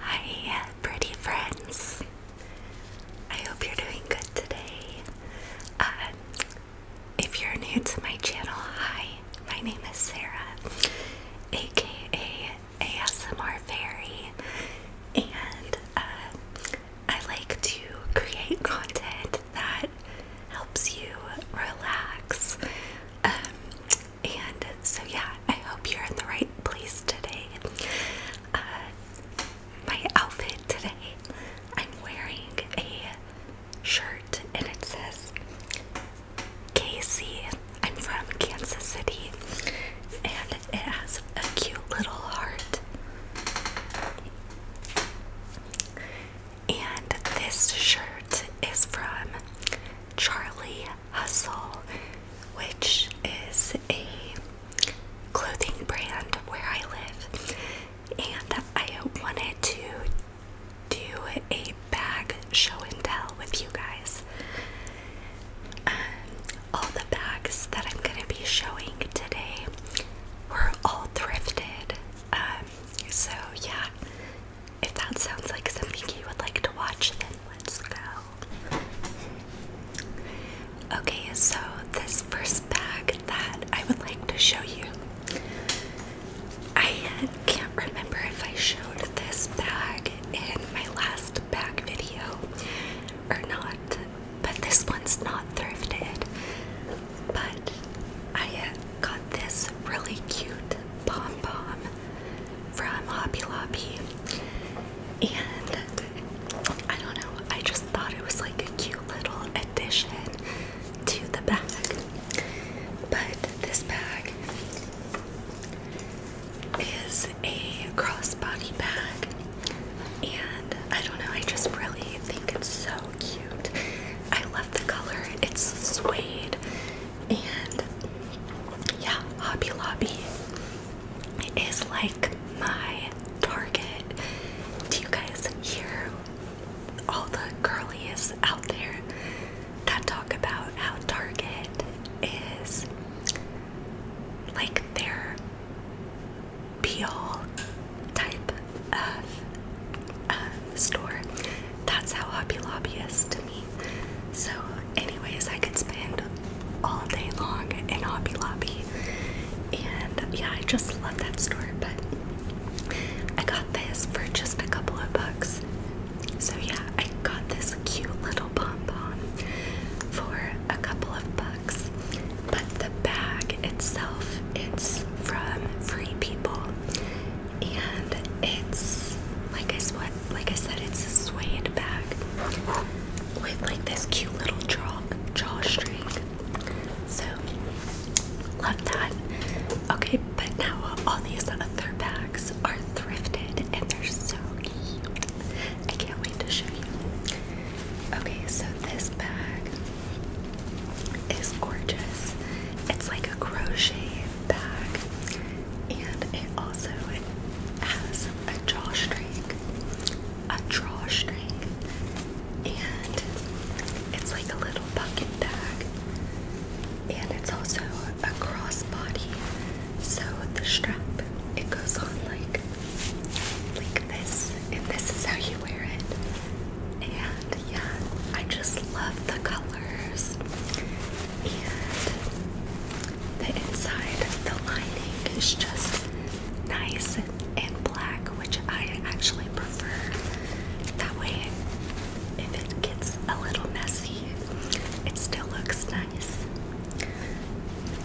Hi, pretty friends. I hope you're doing good today. Uh, if you're new to my channel, hi, my name is Sarah, aka ASMR Fairy, and uh, I like to create content that helps you relax. Um, and so, yeah, I hope you're in the right place today. Uh, my outfit today, I'm wearing a shirt and it says Casey. I'm from Kansas City and it has a cute little heart. And this shirt is from Charlie Hustle, which is a clothing brand where I live, and I wanted to do a bag show and tell with you guys. Um, all the bags that I'm going to be showing today were all thrifted. Um, so, yeah, if that sounds like something you would like to watch, then let's go. Okay, so this first bag that I would like to show you, I can't remember if I showed this bag in my last bag video or not, but this one's not thrifted. But I got this really cute pom pom from Hobby Lobby. And I don't know, I just thought it was like a cute little addition to the bag. But this bag is a crossbody bag. And I don't know, I just really think it's so cute. I love the color. It's suede and yeah, Hobby Lobby is like my target. Do you guys hear all the girlies out there that talk about how Target is like their be all type of uh, store? That's how Hobby Lobby is so, anyways, I could spend all day long in Hobby Lobby. And yeah, I just love that store. But I got this for just a couple of bucks. So, yeah, I got this cute little pom pom for a couple of bucks. But the bag itself, it's from Free People and it's like I sweat like I said it's a suede bag with like this cute little draw string. So love that. Okay, but now all these other bags are thrifted and they're so cute. I can't wait to show you. Okay, so this bag is gorgeous. It's like a crochet bag and it also has a drawstring, a drawstring, and it's like a little bucket bag, and it's also a crossbody. So the strap it goes on like like this, and this is how you wear it. And yeah, I just love the color and the inside, the lining is just nice and black, which I actually prefer. That way, if it gets a little messy, it still looks nice.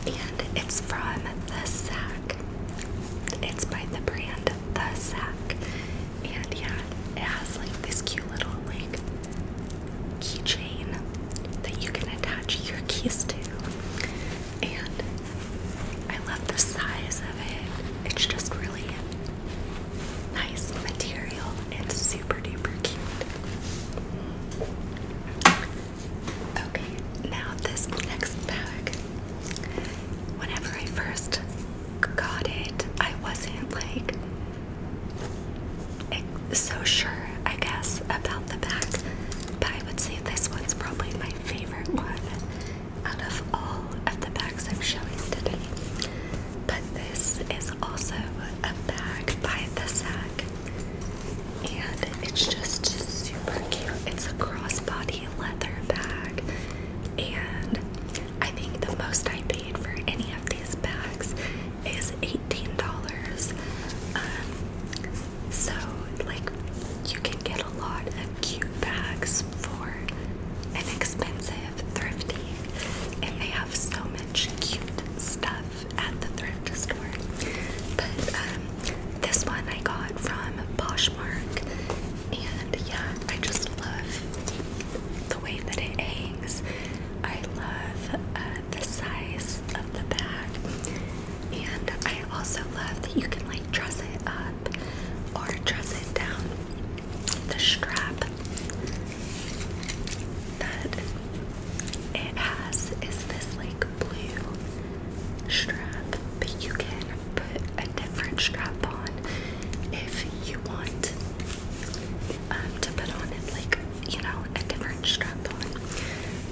And it's from The Sack. It's by the brand The Sack. And yeah, it has like this cute little like keychain that you can attach your keys to. And I love the size of it. It's just really nice material and super duper cute. Okay, now this next bag. Whenever I first got it. I wasn't like so sure, I guess, about the back, but I would say this one's probably my favorite one out of all of the bags I'm showing today. But this is also a bag by the Sack, and it's just super cute. It's a crossbody leather bag, and I think the most I paid for any of these bags is $18. Um, so, like, you can get a lot of cute bags for inexpensive, thrifty, and they have so much cute stuff at the thrift store. But um, this one I got from Poshmark, and yeah, I just love the way that it hangs. I love uh, the size of the bag, and I also love that you can like dress it up or dress it down. The strap that it has is this like blue strap, but you can put a different strap on if you want. Um, to put on like, you know, a different strap on.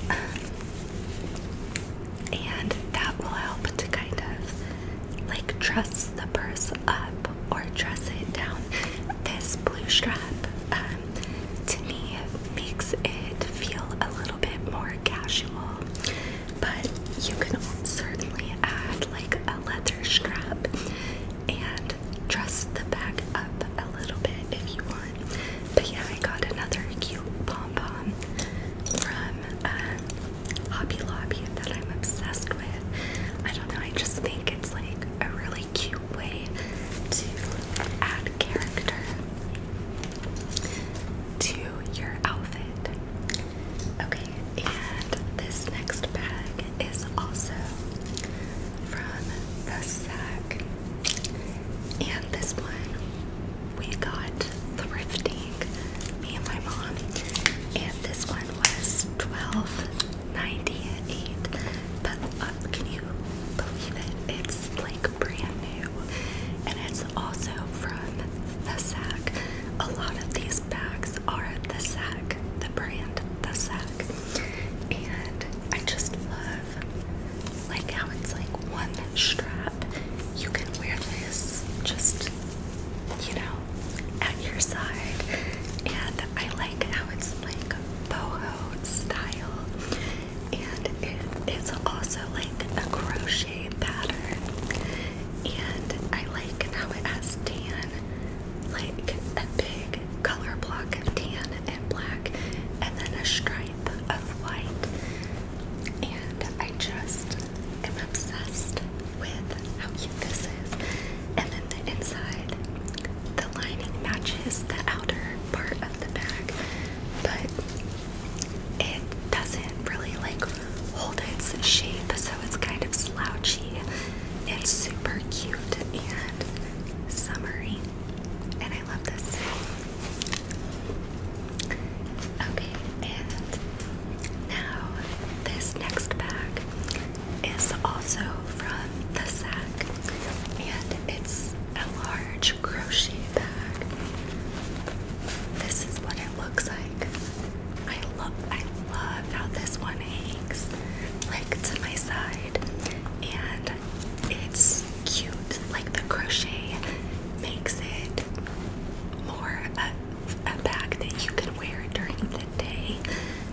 Um, and that will help to kind of like dress the purse up or dress it down. This blue strap, um, to me, makes it feel a little bit more casual, but you can certainly add like a leather strap and dress the back up a little bit if you want. But yeah, I got another cute pom pom from um, Hobby Lobby that I'm obsessed with. I don't know, I just think it's like a really cute way to add character to your outfit. Okay. And this next bag is also from the sack. And this one we got thrifting, me and my mom. And this one was 12 98 But uh, can you believe it? It's like brand new. And it's also from the sack. A lot of these bags are the Sack, the brand, the Sack, and I just love like how it's like one strap. You can wear this just you know at your side, and I like how it's like boho style, and it, it's also like a crochet pattern and I like how it has tan, like a big color block of tan and black, and then a stripe of white. And I just am obsessed with how cute this is. And then the inside, the lining matches the outer part of the bag, but it doesn't really like hold its shape, so it's kind of slouchy. It's super cute and summery, and I love this. Okay, and now this next bag is also from the sack, and it's a large crochet bag. This is what it looks like. I love I love how this one hangs like to my side and it's cute like the crochet makes it more a, a bag that you can wear during the day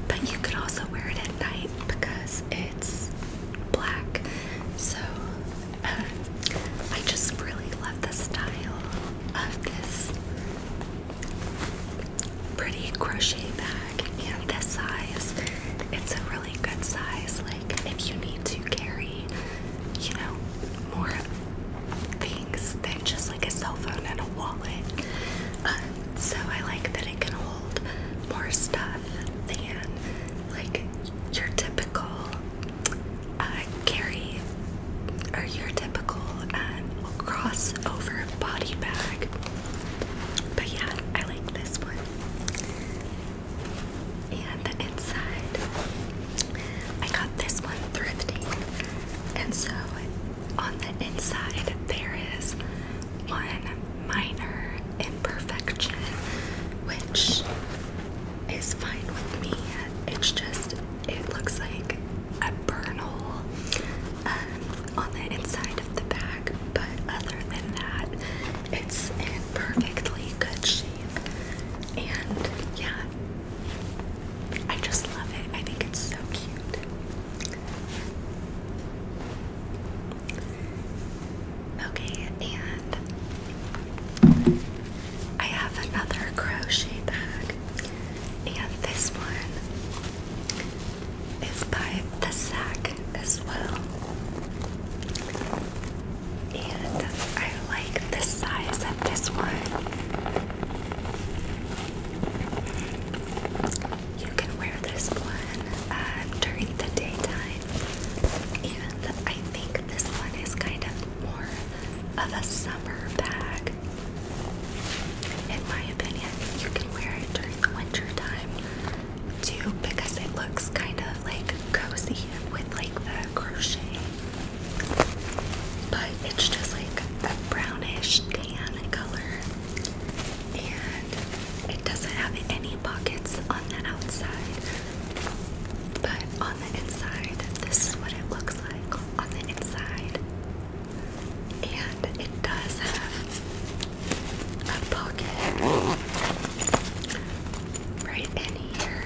but you can also wear it at night because it's black so I just really love the style of this pretty crochet bag and this size it's a really good size like if you need to carry you know more things than just like a cell phone and a wallet um, so I like that it can hold more stuff than like your typical uh, carry or your typical um, crossover body bag. But yeah, I like this one. And the inside, I got this one thrifting. And so on the inside, there is one minor imperfection, which is fine with me. It's just, it looks like a burn hole um, on the inside of the bag, but other than that, it's in perfectly good shape. And yeah, I just love it. I think it's so cute. Okay, and I have another crochet bag, and this one is by the sack as well. And I like the size of this one. You can wear this one uh, during the daytime, and I think this one is kind of more of a summer bag in my opinion, you can wear it during the winter time too because it looks kind of like cozy with like the crochet. But it's just like a brownish tan color and it doesn't have any pockets on the outside. But on on the inside. This is what it looks like on the inside. And it does have a pocket right in here.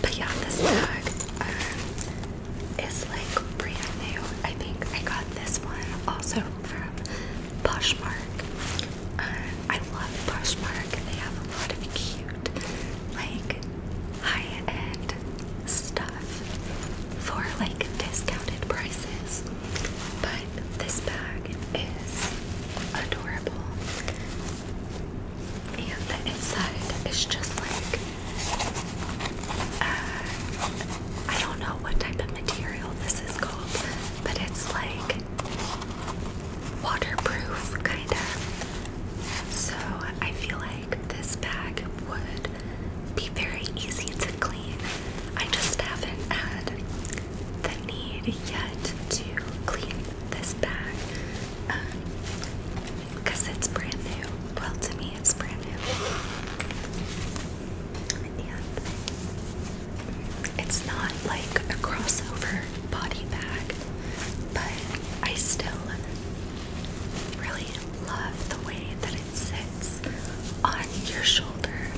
But yeah, this bag uh, is like brand new. I think I got this one also from Poshmark. Uh, I love Poshmark. They have a lot of cute, like high-end stuff for like discounted prices. But this bag is adorable. And the inside is just like uh, I don't know what type of material this is called, but it's like waterproof, kind of. So I feel like this bag would be very easy to clean. I just haven't had the need yet to clean this bag because um, it's brand new. Well, to me, it's brand new. it's not like a crossover body bag, but I still really love the way that it sits on your shoulder,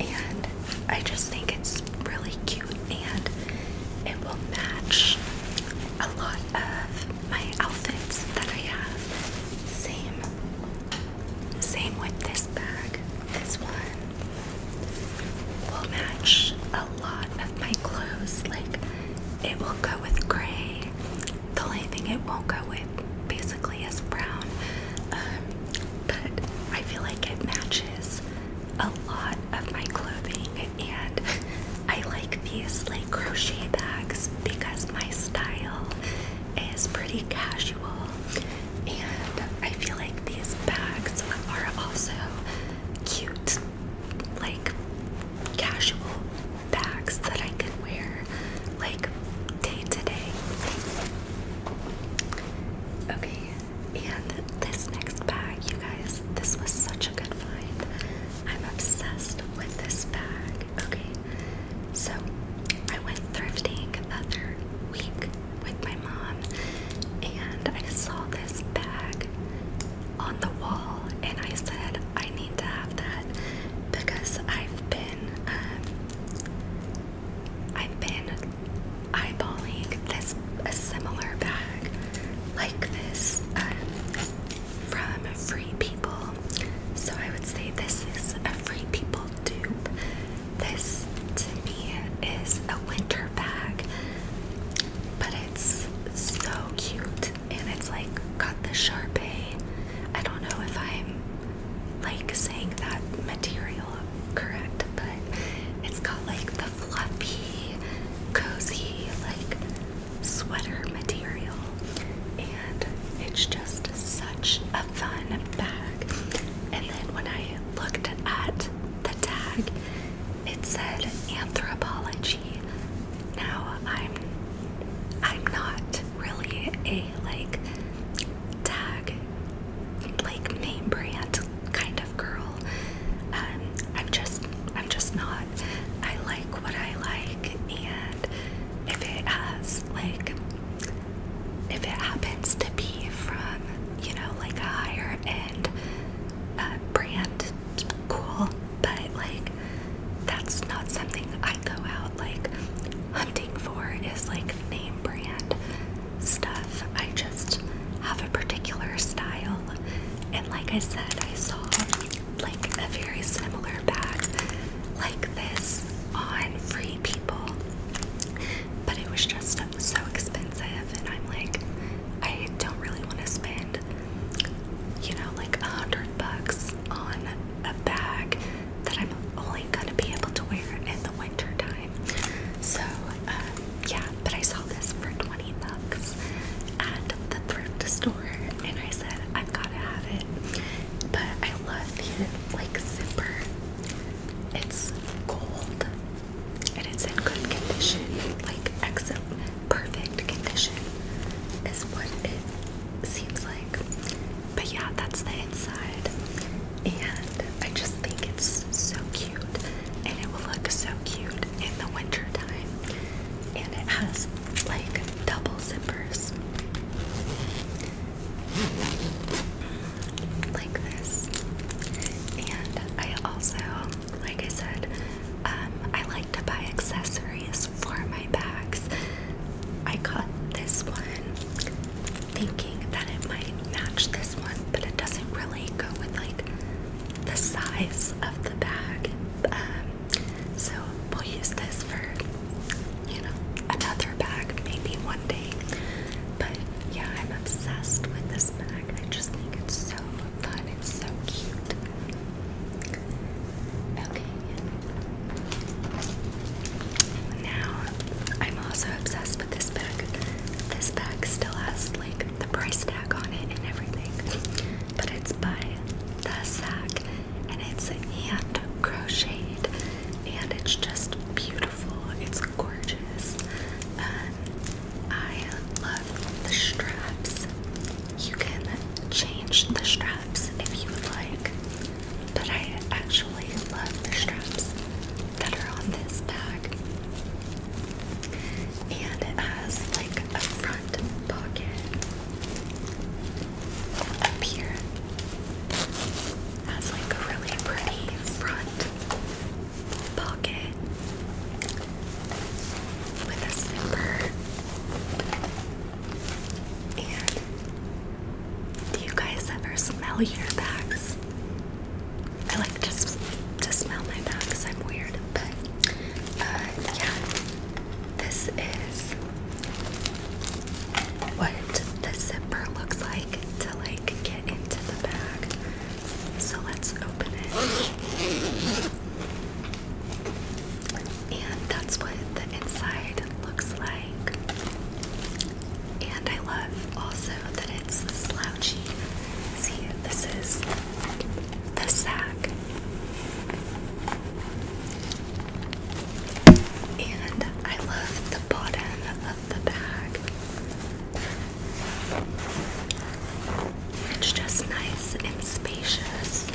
and I just think it's really cute and it will match a lot of my outfits that I have. Same, same with this bag. This one will match a a lot of my clothes. Like, it will go with gray. The only thing it won't go with basically is brown. Um, but I feel like it matches a lot of my clothing. And I like these like crochet bags because my style is pretty casual. And I feel like these bags are also cute like casual bags that I can wear like day to day. Okay, and this next bag, you guys, this was such a good find. I'm obsessed with this bag. Okay, so I went thrifting the other week with my mom and I saw this bag on the wall, and I said I need to have that because I've been um, I've been eyeballing this a similar bag like this um, from Free People. So I would say this is a Free People dupe. This to me is a winter bag. But it's so cute and it's like got the Sharpay. I don't know if I'm like saying that material correct, but it's got like the fluffy, cozy, like sweater material. And it's just such a fun bag. And then when I looked at the tag, it said anthropology. Now I'm I'm not really a like tag like name brand kind of girl. Um, I'm just I'm just not. I like what I like and if it has like if it happens to be from you know like a higher end uh, brand cool, but like that's not something I go out like hunting for is like name brand stuff. I just have a particular style. And like I said, I saw like a very similar bag like this on Free People, but it was just so expensive and I'm like I don't really want to spend you know like a hundred bucks on a bag that I'm only gonna be able to wear in the winter time. So um, yeah, but I saw this for 20 bucks at the thrift store and I said i gotta have it. But I love the like zipper. It's gold and it's in good condition, like excellent, perfect condition, is what it seems like. But yeah, that's the inside, and I just think it's so cute, and it will look so cute in the winter time. And it has like double zippers, like this. And I also like I said, um, I like to buy accessories for my bags. I got this one thinking that it might match this one, but it doesn't really go with like the size of the bag. Um, so we'll use this for, you know, another bag maybe one day. But yeah, I'm obsessed with this bag. I just think it's so fun. It's so cute. Okay. Now, I'm also obsessed with this bag. This bag still has like the price tag on it and everything, but it's by The Sack and it's hand crocheted and it's just beautiful. It's gorgeous. Um, I love the straps. You can change the straps if you like, but I actually love the straps that are on this bag. And it has like a front pocket up here. has like a really pretty front pocket with a zipper. And do you guys ever smell your bags? I like to, to smell my bags. I'm weird, but uh, yeah. This is what the zipper looks like to like get into the bag. So let's open it. And that's what the inside looks like. And I love also that it's slouchy. See, this is the sack. And I love the bottom of the bag. It's just nice and spacious.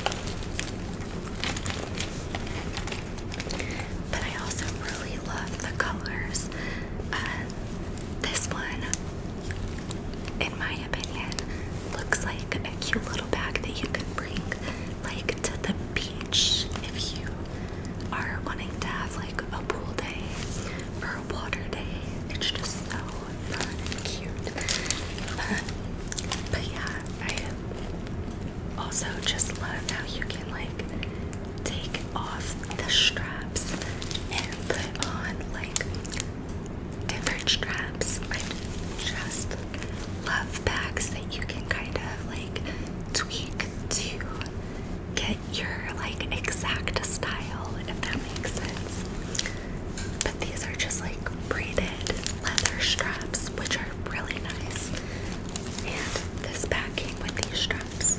But I also really love the colors. Uh, this one, in my opinion, looks like a cute little bag that you could bring like to the beach if you are wanting to have a pool day or a water day. It's just so fun and cute. but yeah, I also just love how you can like take off the straps and put on like different straps. I just love bags that you can kind of like tweak to get your like exact style, if that makes sense. But these are just like braided leather straps, which are really nice. And this bag came with these straps.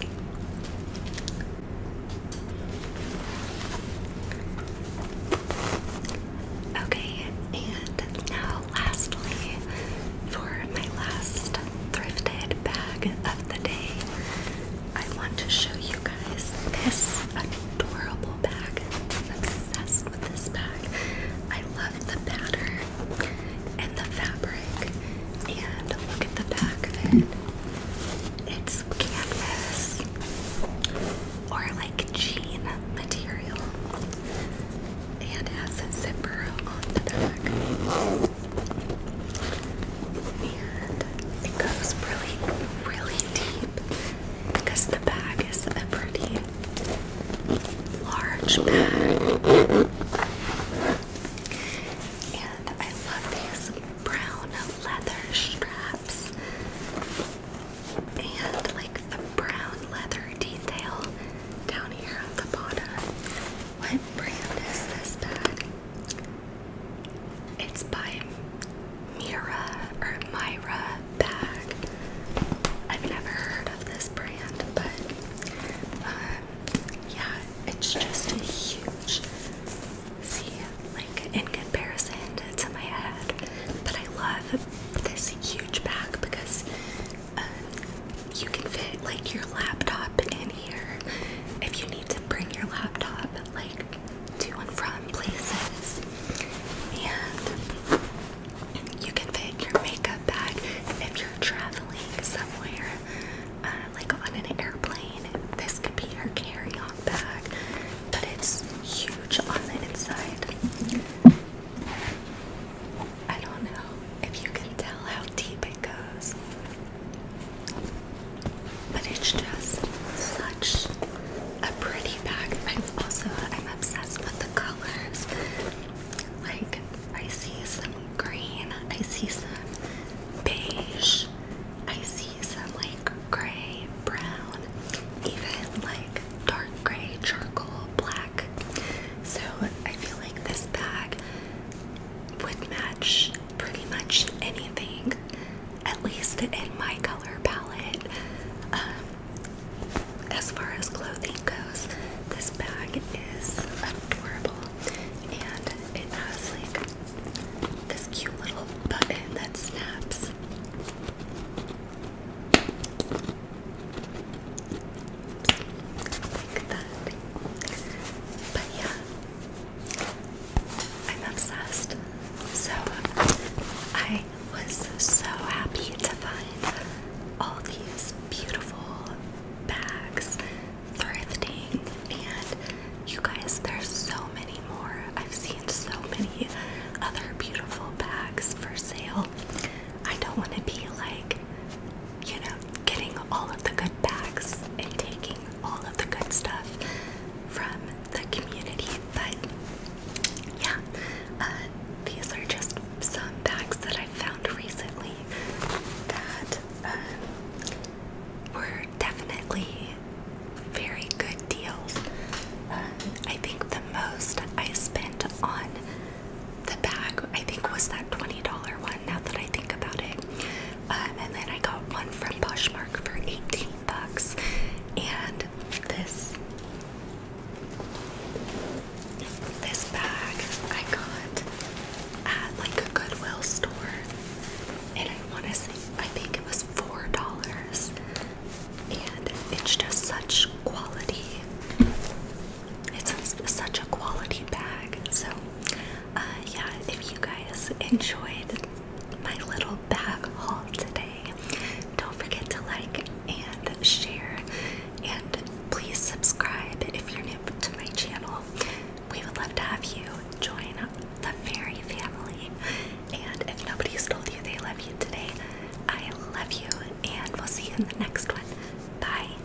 Okay, and now lastly, for my last thrifted bag of the day, I want to show you guys this adorable bag. I'm obsessed with this bag. I love the pattern and the fabric. And look at the back of it. It's canvas or like jean material. And it has a zipper on the back. And it goes really, really deep because the bag is a pretty large bag. And I love these brown leather straps and like the brown leather detail down here on the bottom. What brand is this bag? It's by Mira or Myra Bag. I've never heard of this brand, but um, yeah, it's just a huge. See, like in comparison to my head, but I love this huge bag because um, you can fit like your laptop in here. If you need to bring your laptop like to and from places, and you can fit your makeup bag if you're traveling somewhere, uh, like on an airplane. This could be your carry-on bag, but it's huge on the inside. I don't know if you can tell how deep it goes. But it's just such a pretty bag. I'm also I'm obsessed with the colors. Like I see some green, I see some beige, I see some like gray, brown, even like dark gray, charcoal, black. So I feel like this bag would match pretty much anything, at least in my color palette. Um, as far as clothing goes, this bag is adorable and it has like this cute little button that snaps. Like that. But yeah, I'm obsessed. So I was so happy to find all these beautiful bags thrifting and you guys there's so many more. I've seen so many other beautiful bags for sale. I don't want to be like, you know, getting all of the good bags and taking all of the good stuff from the community. But yeah, uh, these are just some bags that I found recently that um, were definitely very good deals. Um, I think the most I spent on the bag, I think, was that $20 one now that I think about it. Um, and then I got one from Poshmark for 18 bucks. And this this bag I got at like a Goodwill store. And I wanna say I think it was four dollars. And it's just such quality it's such a quality bag. So, uh, yeah, if you guys enjoyed my little bag haul today, don't forget to like and share. And please subscribe if you're new to my channel. We would love to have you join the fairy family. And if nobody's told you they love you today, I love you. And we'll see you in the next one. Bye.